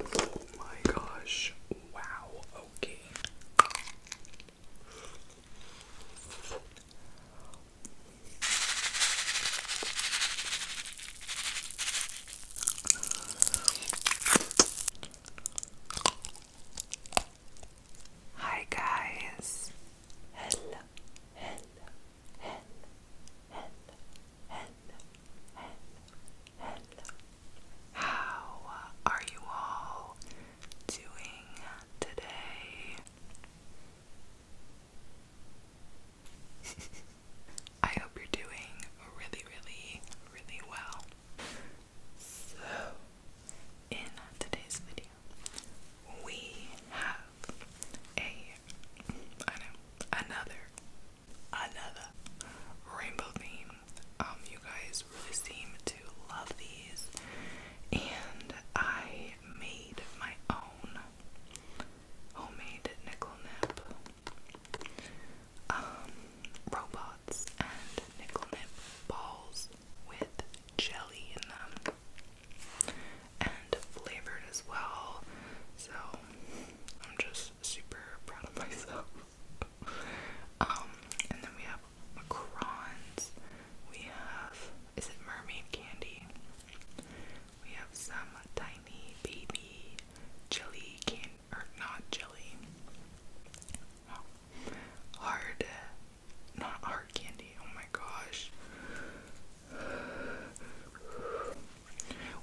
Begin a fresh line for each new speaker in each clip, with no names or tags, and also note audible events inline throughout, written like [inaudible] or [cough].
Oh my gosh. Wow. Okay. Hi guys. Hello. Hello hen, hen, hen, hen, hen. How are you all doing today? [laughs] I hope you're doing really, really, really well. So, in today's video, we have a I another another rainbow theme. Um, you guys seem to love these, and I made my own homemade nickel nip um, robots and nickel nip balls with jelly in them and flavored as well. So I'm just super proud of [laughs] myself. Um, and then we have macrons. We have is it mermaid candy? We have some tiny baby jelly can or not jelly. Hard not hard candy. Oh my gosh.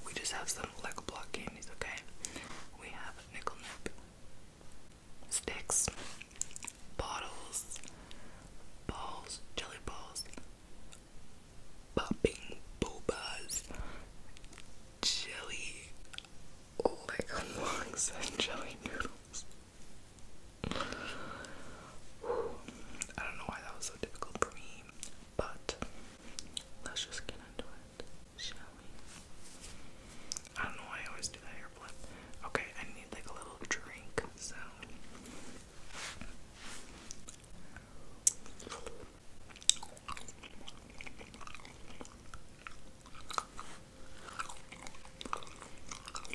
We just have some Lego block candies, okay? We have nickel nip sticks, bottles, balls, jelly balls, popping bobas, jelly, Lego blocks, [laughs] and jelly noodles. I don't know why that was so difficult for me, but let's just get into it, shall we? I don't know why I always do that hair flip. Okay, I need like a little drink sound.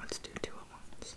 Let's do two at once.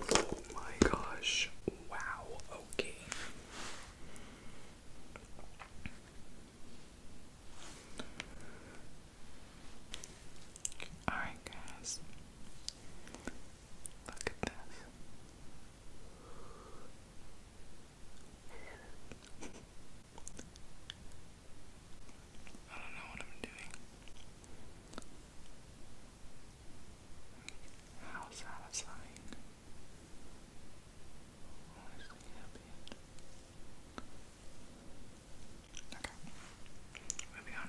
Oh my gosh. Wow, okay. Alright, guys. Look at this. I don't know what I'm doing. How satisfying. Okay. Moving on.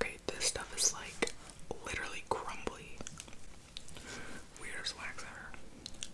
Okay, this stuff is like literally crumbly. Weirdest wax ever.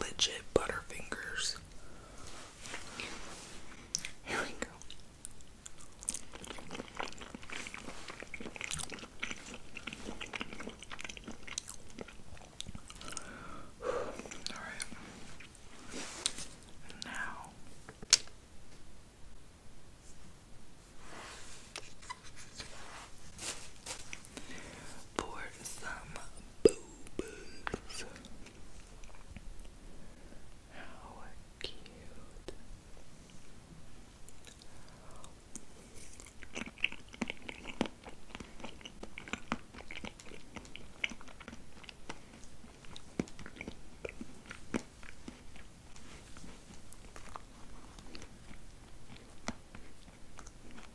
Legit Butterfingers. Here we go. [sighs] All right. now for some boo-boos. How cute.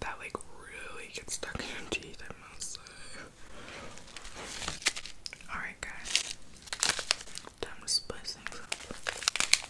That like really gets stuck in your teeth, I must Alright guys. Time to spice things up.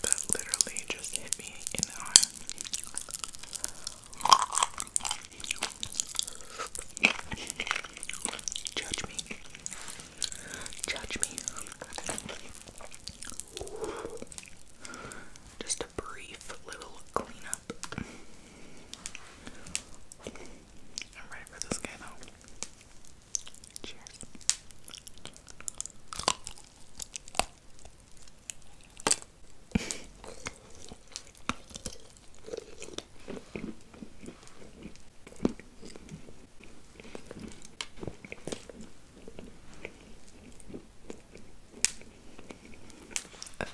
that literally just hit me in the arm. Judge me. Judge me. Just a brief little cleanup. I'm ready for this guy though. Cheers.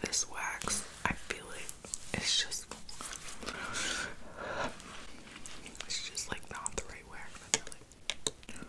This wax, I feel it. It's just, it's just like not the right wax. I feel like,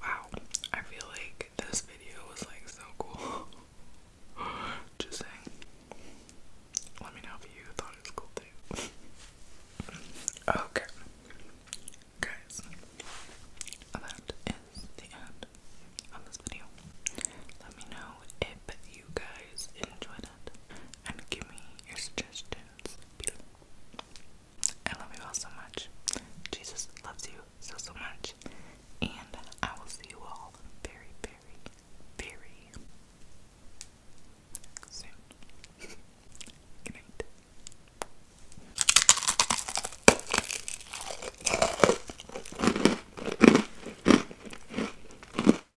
Wow, I feel like this video was like so cool. [laughs] Just saying. Let me know if you thought it was cool too. okay. Guys, that is the end of this video. Let me know if you guys enjoyed it and give me your suggestions I love you all so much. Jesus loves you so, so much. And I will see you all very, very, very soon. [laughs] Good